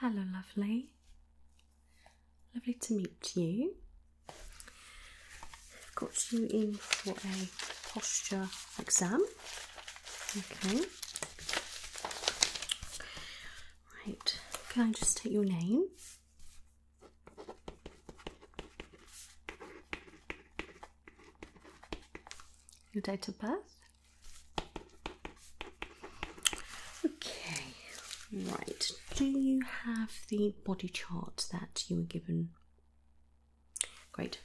Hello, lovely. Lovely to meet you. I've got you in for a posture exam. Okay. Right, can I just take your name? Your date of birth? Okay, right. Do you have the body chart that you were given? Great.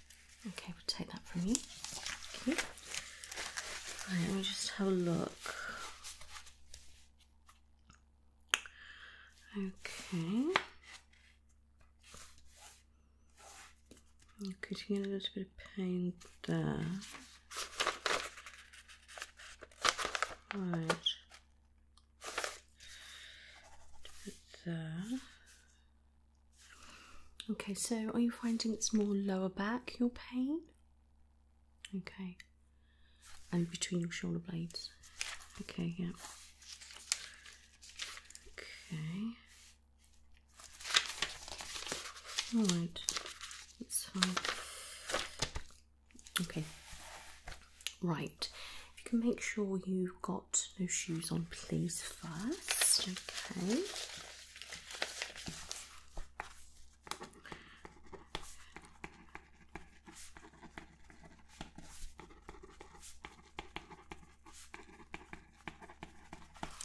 Okay, we'll take that from you. Right, let me just have a look. Okay. I'm getting a little bit of pain there. Right. there. Okay, so are you finding it's more lower back your pain? Okay. And between your shoulder blades. Okay, yeah. Okay. Alright, that's fine. Okay. Right. If you can make sure you've got no shoes on, please, first. Okay.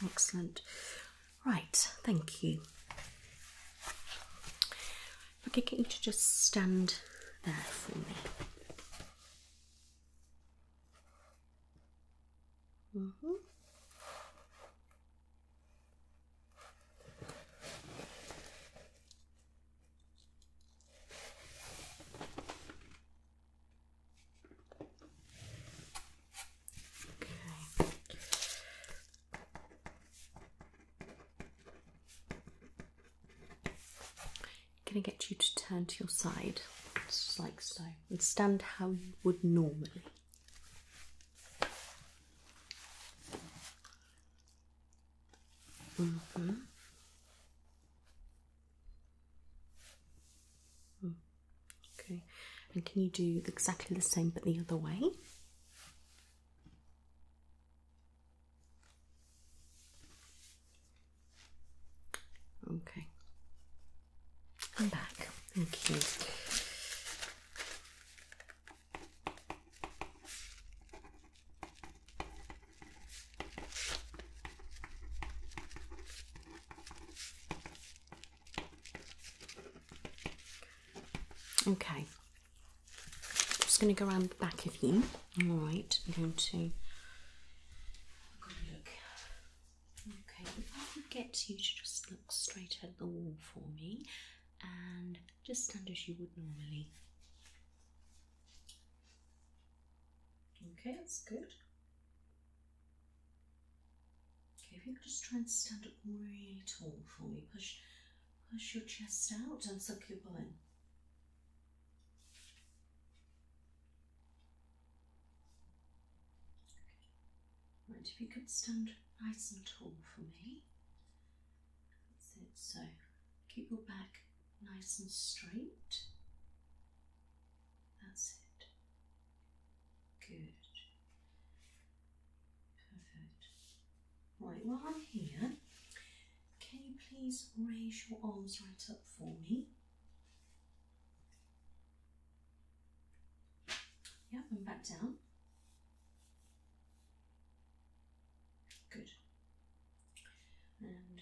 Excellent. Right, thank you. If I could get you to just stand there for me. I'm mm-hmm. gonna get you to turn to your side, just like so, and stand how you would normally. Mm-hmm. Mm-hmm. Okay, and can you do exactly the same but the other way? Okay. I'm back. Thank you. Okay, I'm just going to go around the back of you. All right, I'm going to. Look. Okay, if I could get you to just look straight at the wall for me and just stand as you would normally. Okay, that's good. Okay, if you could just try and stand up really tall for me, push push your chest out and suck your bum in. Right, if you could stand nice and tall for me. That's it. So keep your back nice and straight. That's it. Good. Perfect. Right, while I'm here, can you please raise your arms right up for me? Yep, and back down. Good. And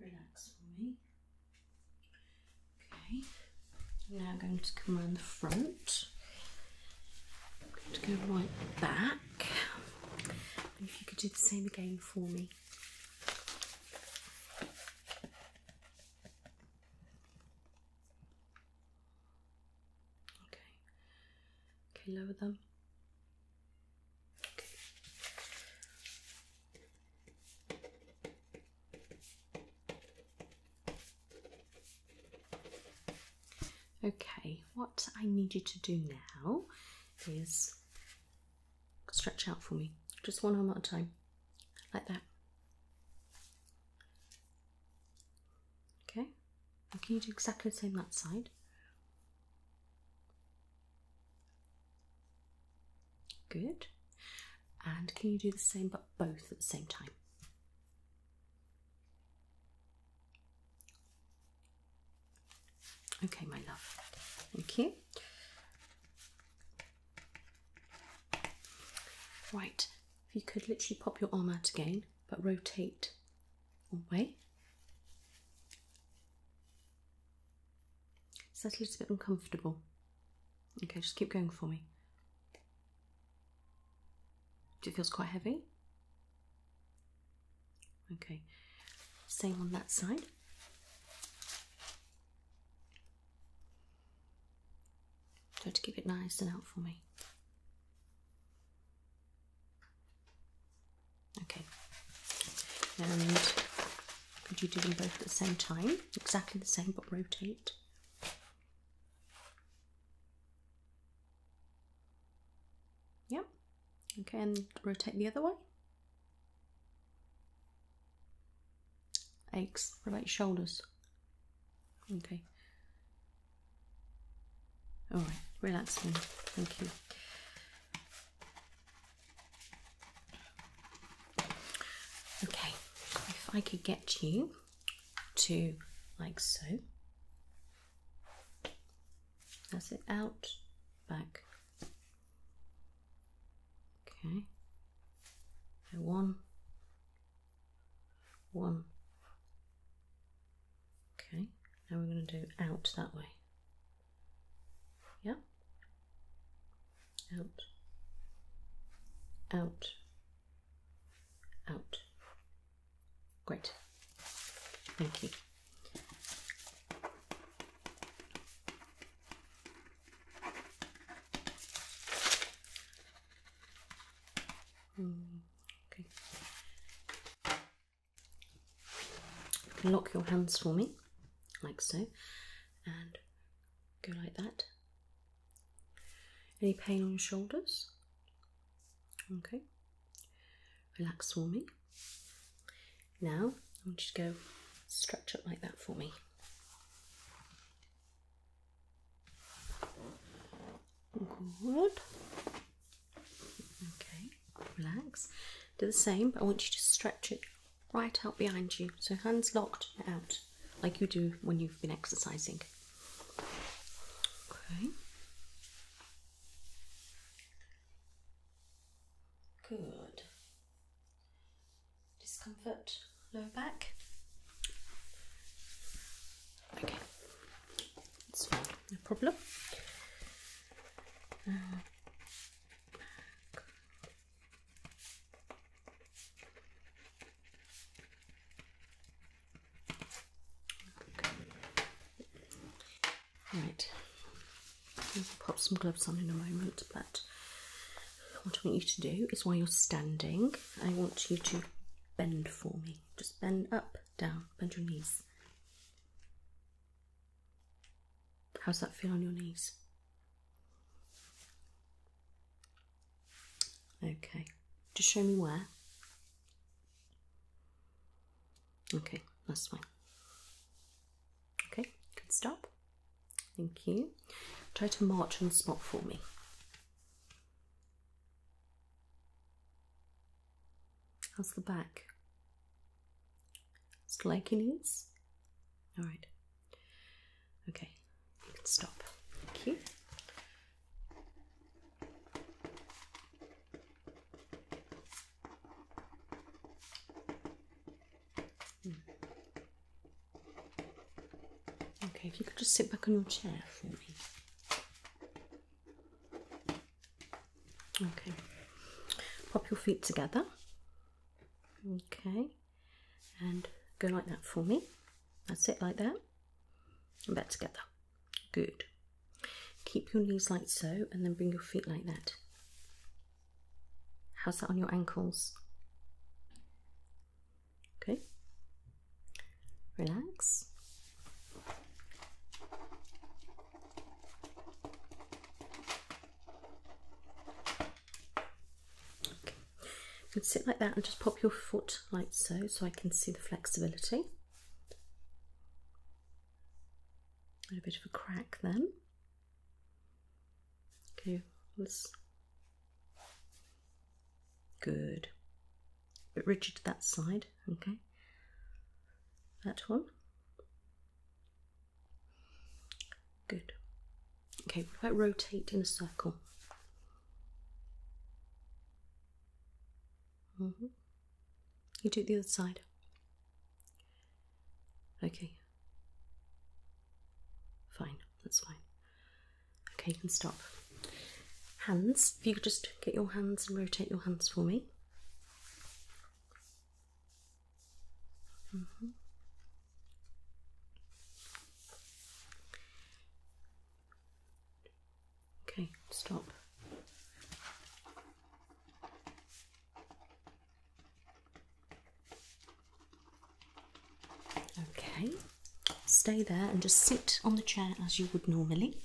relax for me. Okay. now going to come around the front. I'm going to go right back. if you could do the same again for me. Okay. Okay, lower them. Okay. Okay, what I need you to do now is stretch out for me, just one arm at a time like that. Okay, can you do exactly the same that side? Good. And can you do the same but both at the same time? Okay, my love. Thank you. Right, if you could literally pop your arm out again, but rotate away. Is that a little bit uncomfortable? Okay, just keep going for me. It feels quite heavy. Okay, same on that side. Try to keep it nice and out for me. Okay. And could you do them both at the same time? Exactly the same, but rotate. Yep. Okay, and rotate the other way aches. What about shoulders? Okay. All right, relaxing. Thank you. Okay, if I could get you to like so. That's it out, back, Okay. And one, one. Okay, now we're going to do out that way. Yeah. Out. Out. Out. Great. Thank you. Hmm, okay. lock your hands for me, like so, and go like that. Any pain on your shoulders? Okay. Relax for me. Now I am you to go stretch up like that for me. Good. Okay, relax. Do the same, but I want you to stretch it right out behind you. So hands locked out, like you do when you've been exercising. Okay. Good discomfort lower back. Okay, no problem. Uh, right, pop some gloves on in a moment, but what I want you to do is while you're standing, I want you to bend for me. Just bend up, down, bend your knees. How's that feel on your knees? Okay, just show me where. Okay, that's fine. Okay, Good. stop. Thank you. Try to march on spot for me. How's the back? Still like your knees? Alright. Okay, you stop. Thank you. Okay, if you could just sit back on your chair for me. Okay, pop your feet together. Okay, and go like that for me. That's it, like that. And back together. Good. Keep your knees like so, and then bring your feet like that. How's that on your ankles? Okay. Relax. can sit like that and just pop your foot like so, so I can see the flexibility. A bit of a crack then. Okay, let's. Good. A bit rigid to that side, okay. That one. Good. Okay, what about rotate in a circle? Mm-hmm. You do the other side. Okay. Fine, that's fine. Okay, you can stop. Hands, if you could just get your hands and rotate your hands for me. Mm-hmm. Okay, stop. Okay, stay there and just sit on the chair as you would normally.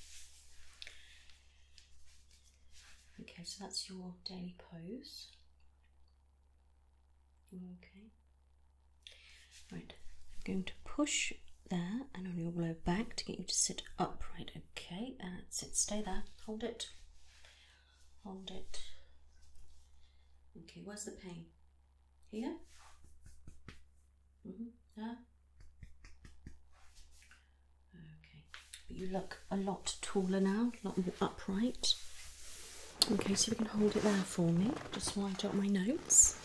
Okay, so that's your daily pose. Okay. Right, I'm going to push there and on your low back to get you to sit upright. Okay, that's it. Stay there. Hold it hold it. Okay, where's the pain? Here? Mm -hmm. Yeah? Okay, but you look a lot taller now, a lot more upright. Okay, so we can hold it there for me, just while I jot my notes.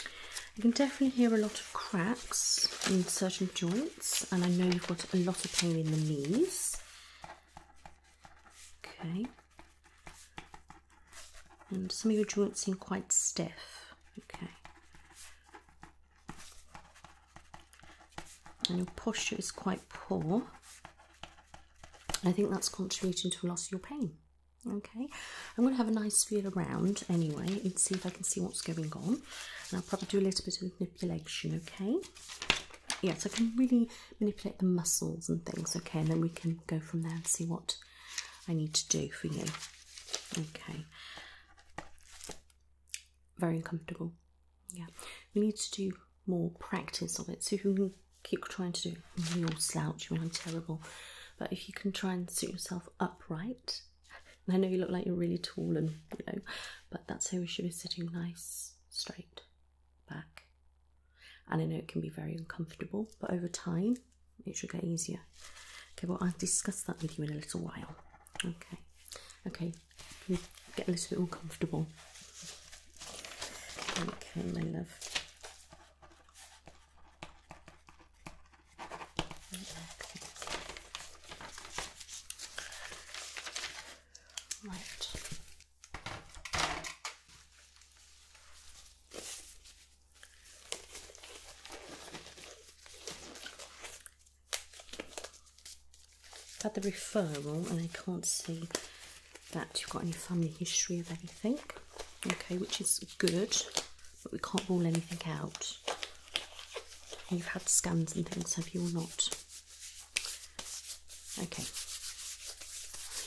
I can definitely hear a lot of cracks in certain joints, and I know you've got a lot of pain in the knees. Okay. And some of your joints seem quite stiff. Okay. And your posture is quite poor. I think that's contributing to a lot of your pain. Okay, I'm going to have a nice feel around anyway and see if I can see what's going on. And I'll probably do a little bit of manipulation, okay? Yes, I can really manipulate the muscles and things, okay? And then we can go from there and see what I need to do for you. Okay. Very uncomfortable. Yeah, we need to do more practice on it. So if you can keep trying to do it, you'll slouch, I'm terrible. But if you can try and sit yourself upright, I know you look like you're really tall and you know, but that's how we should be sitting nice, straight back. And I know it can be very uncomfortable, but over time it should get easier. Okay, well, I'll discuss that with you in a little while. Okay, okay, can get a little bit more comfortable. Okay, my love. I've had the referral and I can't see that you've got any family history of anything okay, which is good, but we can't rule anything out. You've had scans and things, have you, or not? Okay,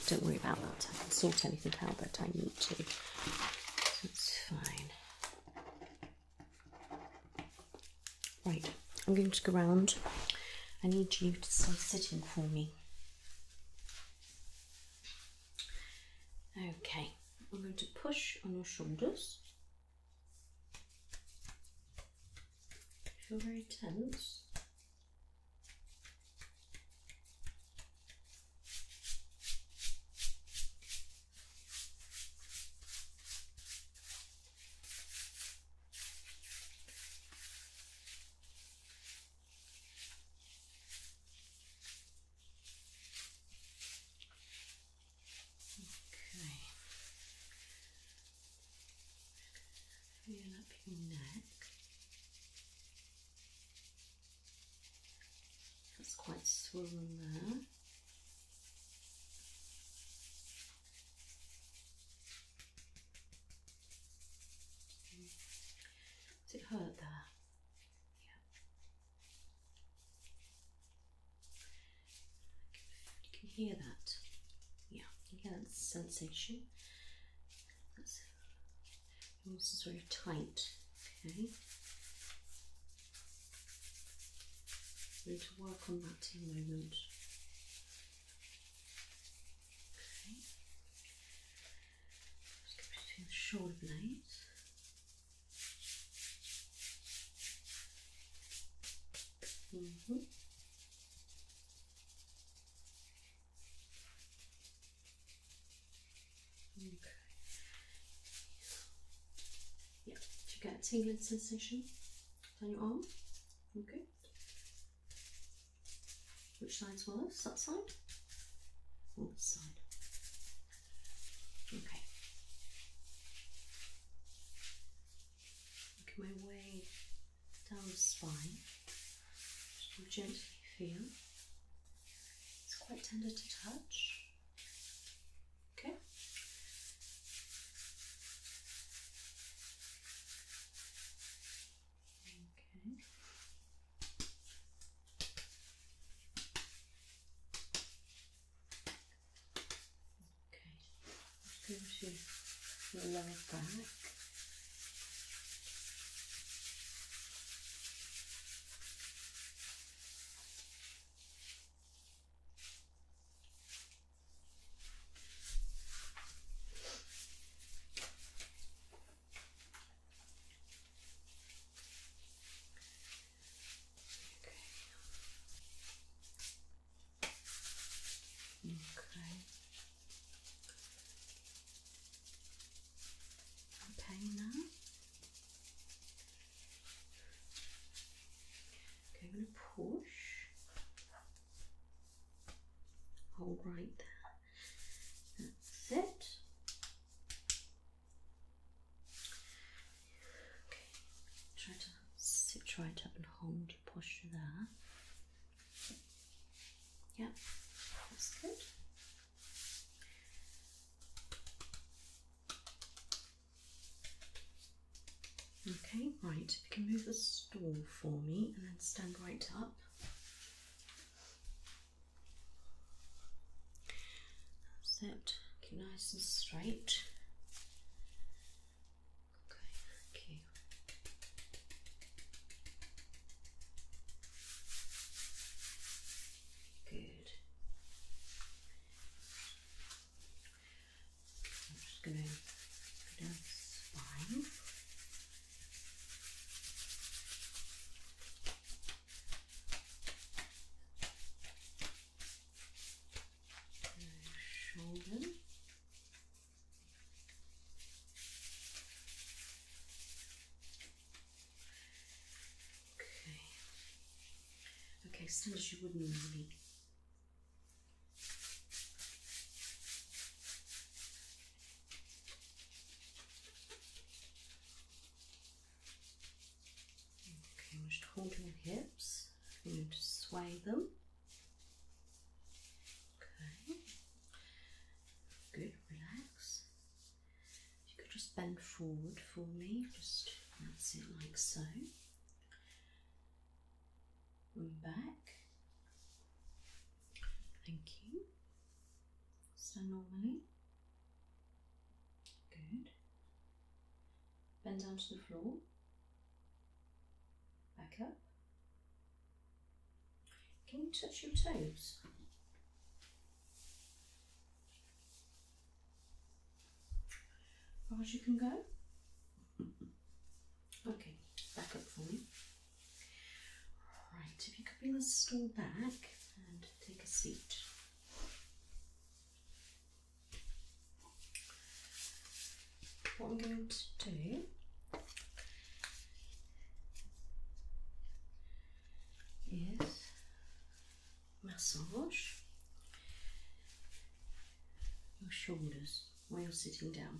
don't worry about that. I can sort anything out that I need to. That's fine. Right, I'm going to go round. I need you to stay sitting for me. Okay, I'm going to push on your shoulders. Feel very tense. Okay. Feel up your neck. That's quite swollen there. Does it hurt there? Yeah. You can hear that. Yeah, you can that sensation. This is very tight. Okay. I'm going to work on that in a moment. Okay between the shoulder blades. Mm-hmm. Okay. Yeah. Do you get tingling sensation down your arm? Okay. Which side's worse? That side? Or this side? Okay. Make my way down the spine. Just gently feel. It's quite tender to touch. Okay. Okay. Okay. Go to lower back. Okay. Okay. Okay now. Okay, gonna push. Hold that's it. Okay, try to sit right up and hold your posture there. Yep, that's good. Okay, right, you can move the stool for me and then stand right up. That's it. Keep nice and straight. Okay, thank Good. I'm just going to go down shoulder. Okay. Okay, stand as you would not need. Okay, we just holding your hips. We're going to sway them. Okay. Good, relax. You could just bend forward for me, just that's like so. And back. Thank you. So normally, good. Bend down to the floor. Back up. Can you touch your toes? As Far as you can go. Okay, back up for me. Right, if you could bring the stool back and take a seat. What I'm going to do is massage your shoulders while you're sitting down.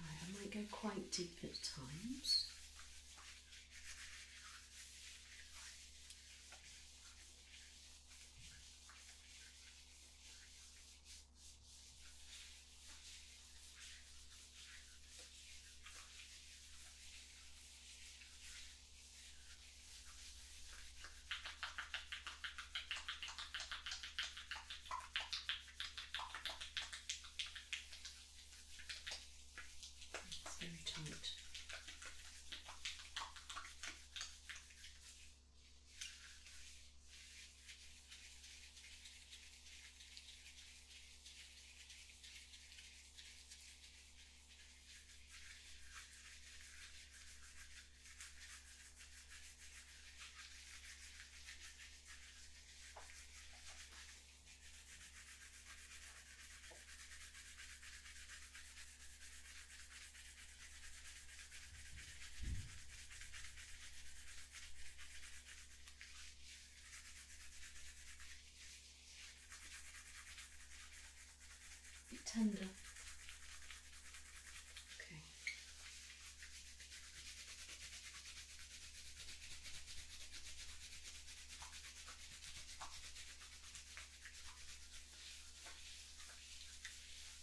I might go quite deep at times. It's very tight. A bit tender. Okay.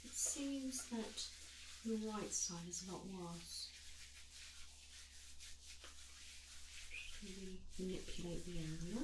It seems that the right side is a lot worse. Should we manipulate the angle?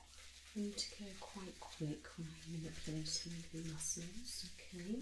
I need to go quite quick when I'm manipulating the muscles, okay?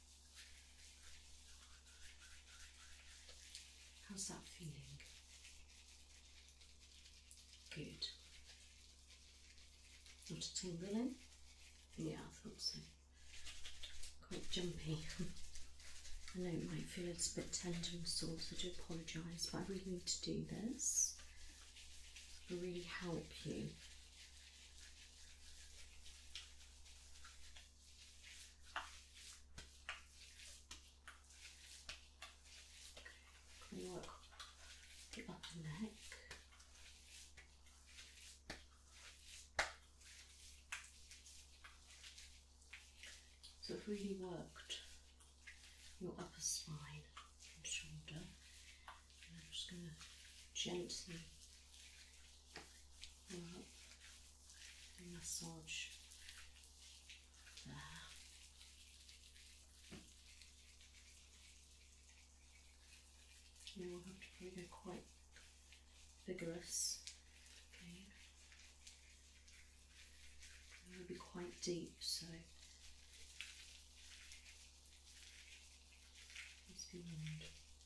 How's that feeling? Good. Not a tingling? Yeah, I thought so. Quite jumpy. I know it might feel a little bit tender and sore, so I do apologise, but I really need to do this. It'll really help you work the upper neck. So it really worked your upper spine and shoulder. And I'm just going to gently massage there. Now we'll have to probably go quite vigorous. Okay. It will be quite deep, so be warned.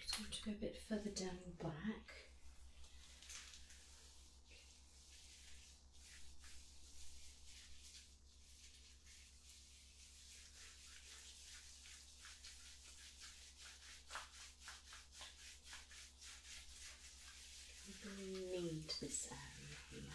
Just want to go a bit further down your back. Really need this area um, here.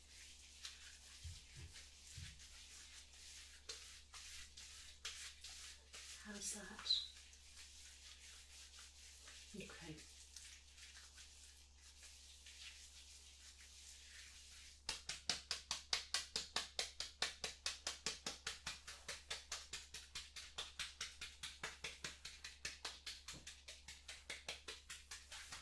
How's that? Okay.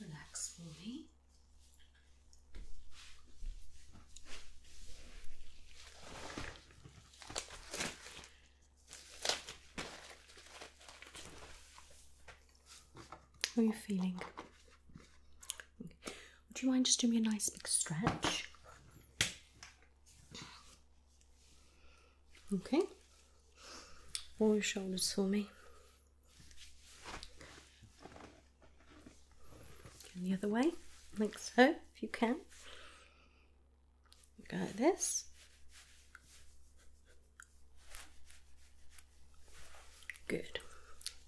Okay, relax for me. How are you feeling? Would you mind just doing me a nice big stretch? Okay. All your shoulders for me. the other way, like so, if you can. Go like this. Good.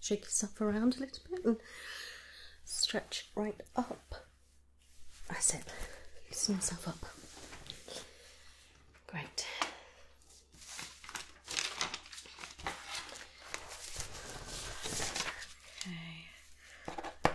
Shake yourself around a little bit and stretch right up. That's it. Loosen yourself up. Great. Okay.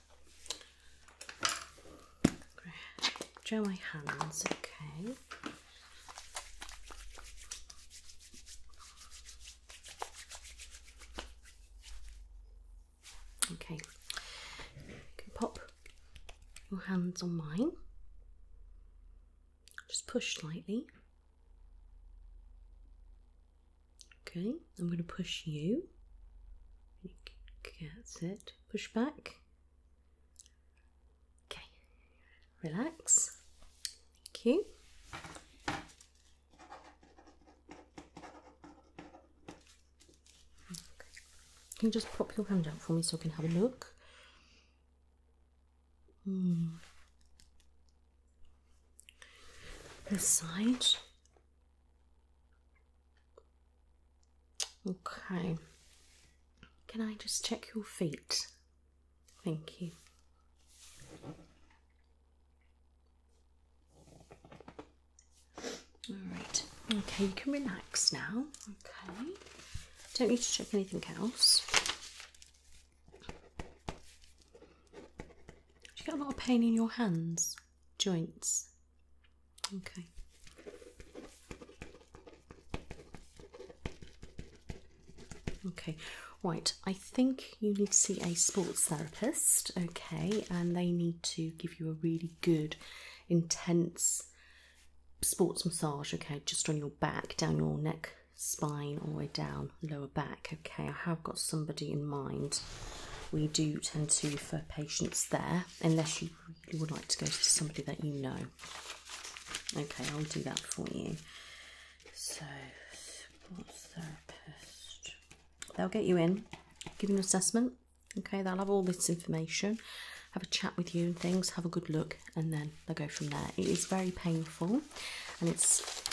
Dry my hands, okay. Okay, you can pop your hands on mine. Just push slightly. Okay, I'm going to push you. That's it. Push back. Okay, relax. Thank you. Can you just pop your hand out for me so I can have a look? Hmm. This side. Okay. Can I just check your feet? Thank you. Alright, okay, you can relax now. Okay, don't need to check anything else you get a lot of pain in your hands, joints? Okay. Okay, right. I think you need to see a sports therapist, okay, and they need to give you a really good, intense sports massage, okay, just on your back, down your neck, spine, all the way down lower back. Okay, I have got somebody in mind. We do tend to refer patients there, unless you would like to go to somebody that you know. Okay, I'll do that for you. So, sports therapist. They'll get you in, give an assessment. Okay, they'll have all this information, have a chat with you and things, have a good look, and then they'll go from there. It is very painful and it's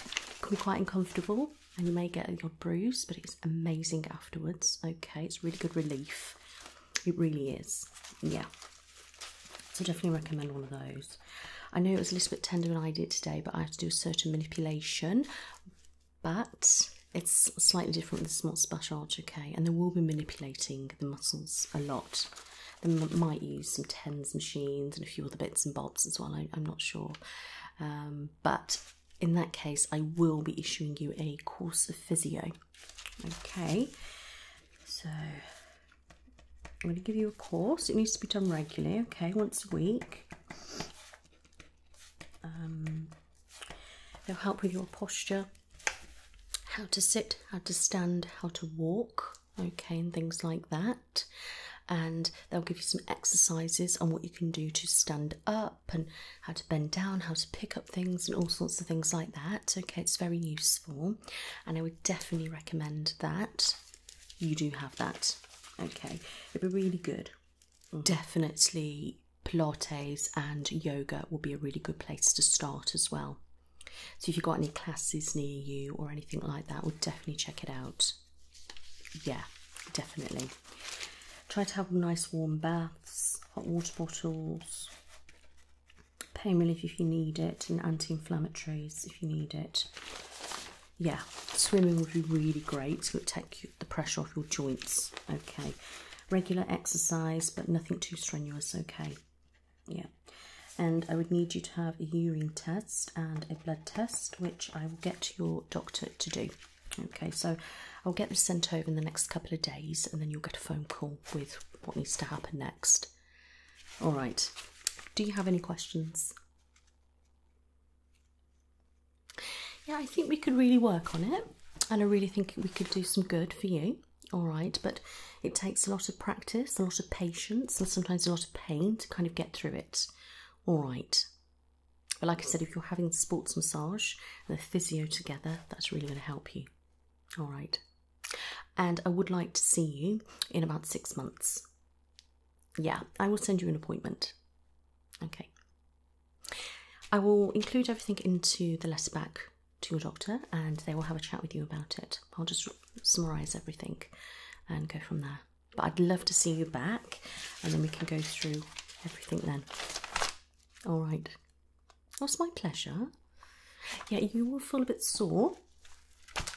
can be quite uncomfortable and you may get a odd bruise, but it's amazing afterwards. Okay, it's really good relief. It really is. Yeah. So definitely recommend one of those. I know it was a little bit tender when I did today, but I have to do a certain manipulation. But it's slightly different with the small splash arch, okay? And they will be manipulating the muscles a lot. They might use some TENS machines and a few other bits and bobs as well, I'm not sure um, but in that case, I will be issuing you a course of physio. Okay, so I'm going to give you a course. It needs to be done regularly, okay, once a week. Um, they'll help with your posture, how to sit, how to stand, how to walk, okay, and things like that and they'll give you some exercises on what you can do to stand up and how to bend down, how to pick up things, and all sorts of things like that. Okay, it's very useful, and I would definitely recommend that you do have that. Okay, it'd be really good. Mm-hmm. Definitely, Pilates and yoga would be a really good place to start as well. So, if you've got any classes near you or anything like that, would definitely check it out yeah, definitely. Try to have nice warm baths, hot water bottles, pain relief if you need it, and anti inflammatories if you need it. Yeah, swimming would be really great. to take the pressure off your joints. Okay, regular exercise, but nothing too strenuous. Okay, yeah. And I would need you to have a urine test and blood test, which I will get your doctor to do. Okay, so I'll get this sent over in the next couple of days, and then you'll get a phone call with what needs to happen next. All right, do you have any questions? Yeah, I think we could really work on it, and I really think we could do some good for you. All right, but it takes a lot of practice, a lot of patience, and sometimes a lot of pain to kind of get through it. All right. But like I said, if you're having sports massage and a physio together, that's really going to help you. All right. And I would like to see you in about six months. Yeah, I will send you an appointment. Okay. I will include everything into the letter back to your doctor and they will have a chat with you about it. I'll just summarise everything and go from there. But I'd love to see you back and then we can go through everything then. All right. Well, my pleasure. Yeah, you will feel a bit sore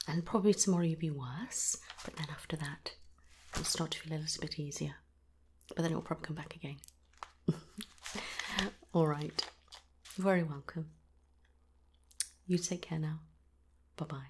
and probably tomorrow you'll be worse. But then after that, you will start to feel a little bit easier. But then it'll probably come back again. All right. You're very welcome. You take care now. Bye bye.